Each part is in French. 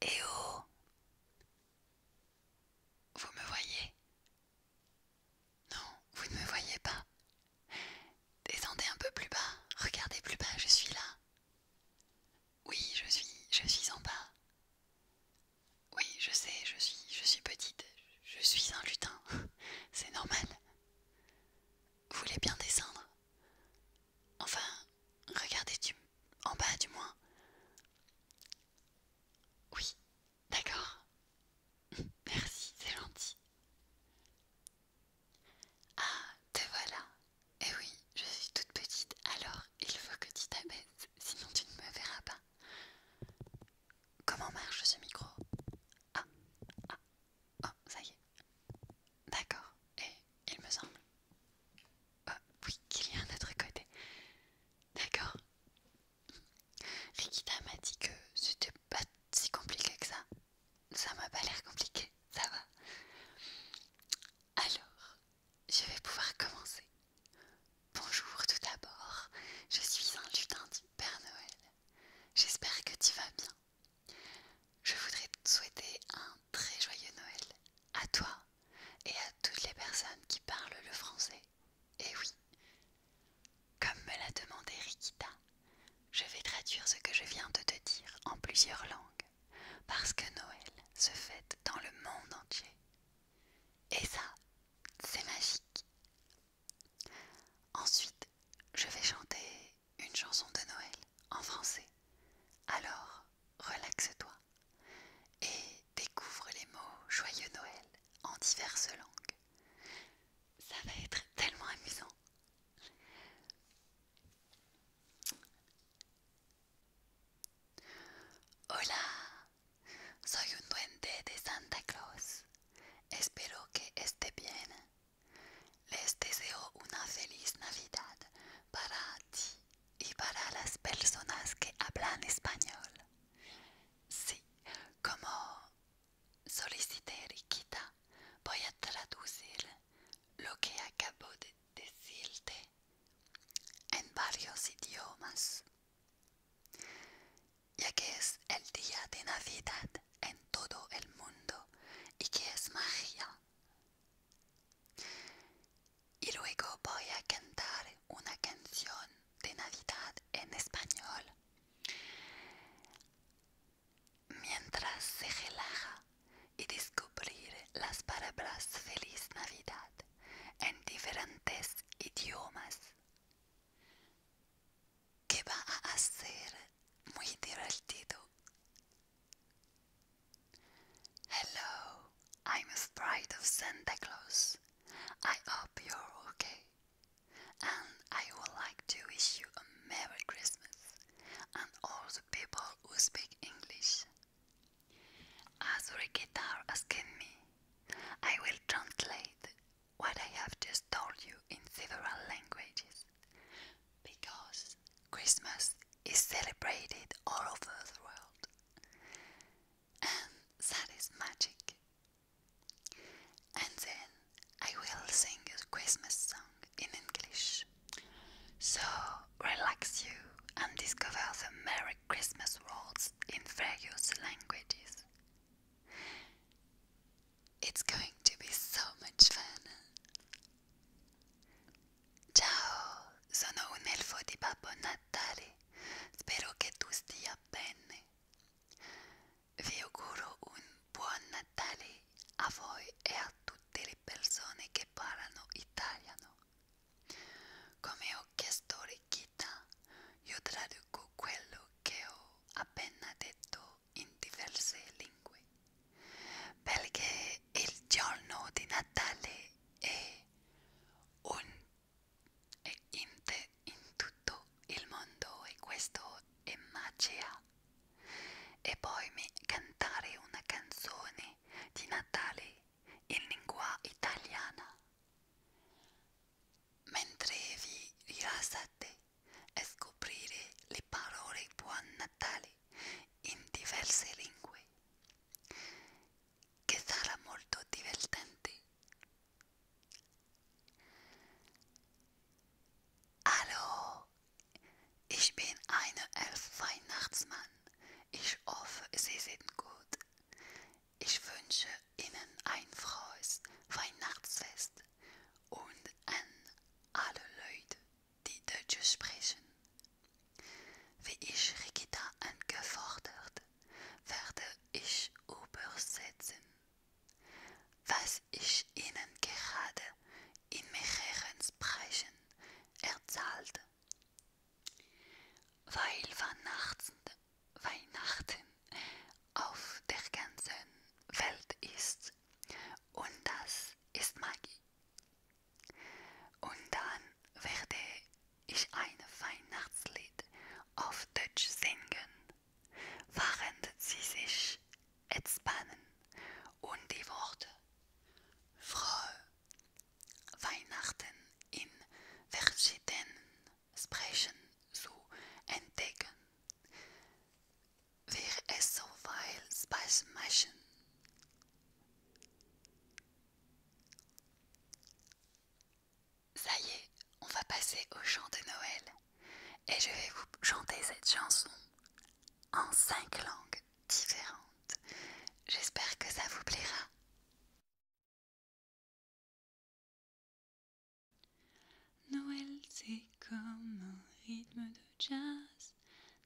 Eh oh Vous me voyez non, vous ne me voyez pas. Descendez un peu plus bas, regardez plus bas, je suis là. Oui, je suis, je suis en bas. Oui, je sais, je suis, je suis petite, je suis un lutin, c'est normal. Vous voulez bien descendre Enfin, regardez du, en bas du moins. Oui, D'accord. Merci, c'est gentil. Ah, te voilà. Eh oui, je suis toute petite, alors il faut que tu t'abaisses, sinon tu ne me verras pas. Comment marche ce micro Ah, ah, oh, ça y est. D'accord, et il me semble. Oh, oui, qu'il y a un autre côté. D'accord, Rikita m'a dit que c'était pas si compliqué que ça. Ça m'a pas l'air compliqué, ça va. Alors, je vais pouvoir commencer. Bonjour tout d'abord, je suis un lutin du Père Noël. J'espère que tu vas bien. Je voudrais te souhaiter un très joyeux Noël à toi et à toutes les personnes qui parlent le français et eh oui. Comme me l'a demandé Rikita, je vais traduire ce que je viens de te dire en plusieurs langues, parce que Noël se fête dans le monde entier. Et ça, c'est magique. Ensuite, je vais chanter une chanson de Noël en français. Alors, relaxe-toi et découvre les mots Joyeux Noël en diverses langues. Ça va être tellement amusant. Hola, soy un duende de Santa Claus. Espero que esté bien. Les deseo una feliz Navidad para y para las personas que hablan español. Sí, como solicité quita, voy a traducir lo que acabo de decirte en varios idiomas, ya que es el día de Navidad en todo el mundo y que es magia. Y luego voy a cantar una canción de Navidad en español. Mientras se relaja y descubrir las palabras Feliz Navidad en diferentes idiomas. Que va a hacer muy divertido Hello, I'm a Sprite of Santa Claus. I hope you're okay. And I would like to wish you a Merry Christmas and all the people who speak English. As Rikitar asking me, I will translate what I have just told you in several languages because Christmas is celebrated all over the world, and that is magic. And then I will sing a Christmas song in English. So relax you and discover the Merry Christmas words in various languages. It's going to be so much fun. Ciao, sono un elfo di Babbo Natale. Spero che tu stia bene. Vi auguro un buon Natale a voi e a tutte le persone che parlano italiano. Come ho chiesto Rikita, io traduco quello che ho appena detto in diverse lingue, perché il giorno di Natale è un è in, te, in tutto il mondo e questo è magia. E poi mi cantare una canzone di Natale in lingua italiana mentre vi rilassate e scoprire le parole buon Natale in diverse lingue, che sarà molto divertente. Hallo, ich bin eine Elf Weihnachtsmann. Ich hoffe, Sie sind gut. Ich wünsche Ihnen ein frohes Weihnachtsfest. und an alle Leute, die Deutsch sprechen. Wie ich Rikita angefordert, werde ich übersetzen, was ich Ihnen gerade in mehreren Sprechen erzählte. Weil Weihnachten, Weihnachten auf der ganzen Welt ist, und das ist Magie. Und dann werde ich ein Weihnachtslied auf Deutsch singen, während sie sich entspannen und die Worte Frohe Weihnachten in verschiedenen Sprechen zu entdecken. Vir so Ça y est, on va passer au chant de Noël et je vais vous chanter cette chanson en cinq langues différentes. J'espère que ça vous plaira. Noël, c'est comme un rythme de jazz,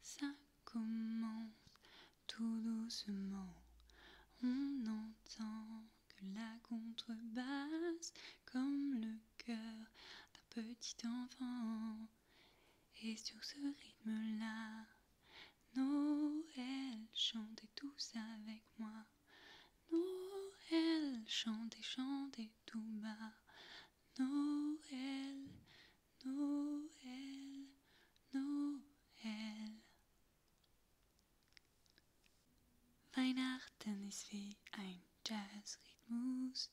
ça commence tout doucement. On entend que la contrebasse, comme le cœur d'un petit enfant. Et sur ce rythme-là, Noël, chantez tous avec moi. Noël, chantez, chantez tout bas. Noël, Noël, Noël. Weihnachten ist wie ein Jazzrhythmus,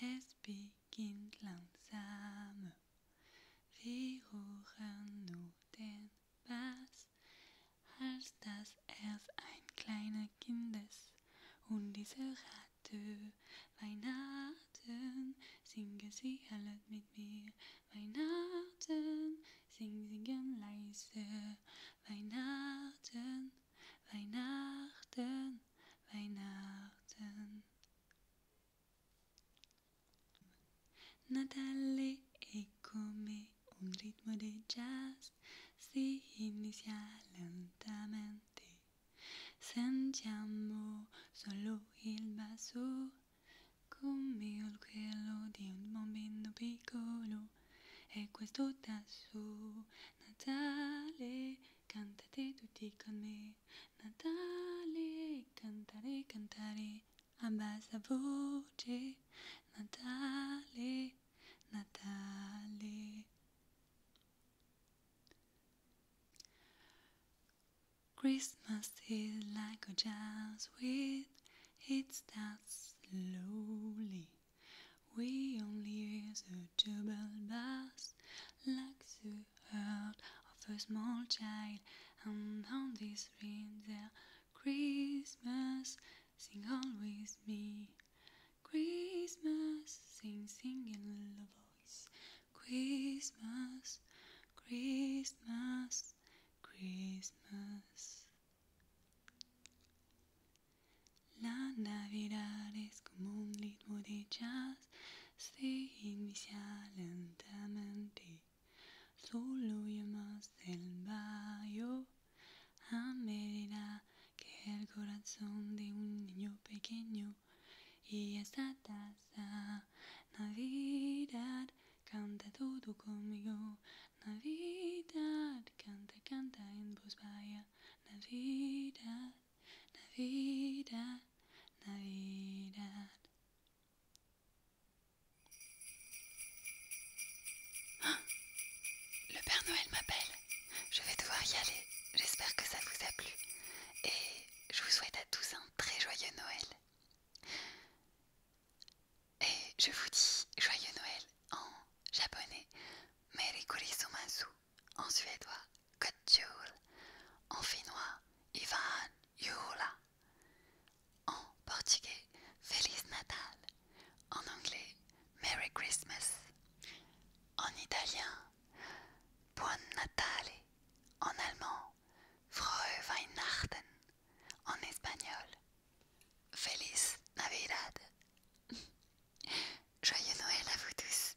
es beginnt langsam. Wir hören nur den Bass. Mannes, als dass es ein kleiner Kindes und diese Ratte Weihnachten singen sie alle mit mir Weihnachten sing singen leise Weihnachten Weihnachten Weihnachten Natale è come un ritmo di jazz, si inizia lentamente. Sentiamo solo il basso, come il quello di un bambino piccolo. E questo tasso, Natale, cantate tutti con me. Natale, cantare, cantare. Abbassa voce, Natale, Natale. Christmas is like a jazz with it starts slowly. We only hear the double bass like the heart of a small child, and on this ring there Christmas, sing always me. Christmas, sing, sing in a voice. Christmas, Christmas, Christmas. La Navidad es como un ritmo de jazz, se inicial lentamente. Solo llamas del valle a que el corazón de un niño pequeño y esta taza Navidad canta todo conmigo Navidad canta canta en voz vaya Navidad Navidad Navidad Le Père Noël m'appelle. Je vais devoir y aller. J'espère que ça vous a plu. Et je vous souhaite à tous un très joyeux Noël. Et je vous dis joyeux Noël en japonais. Merry en suédois. Kotjul en finnois. Ivan Yula. En portugais, Feliz Natal. En anglais, Merry Christmas. En italien, Buon Natale. En allemand, Frohe Weihnachten. En espagnol, Feliz Navidad. Joyeux Noël à vous tous.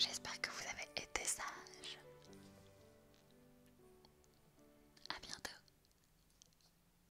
J'espère que vous avez été sage. À bientôt.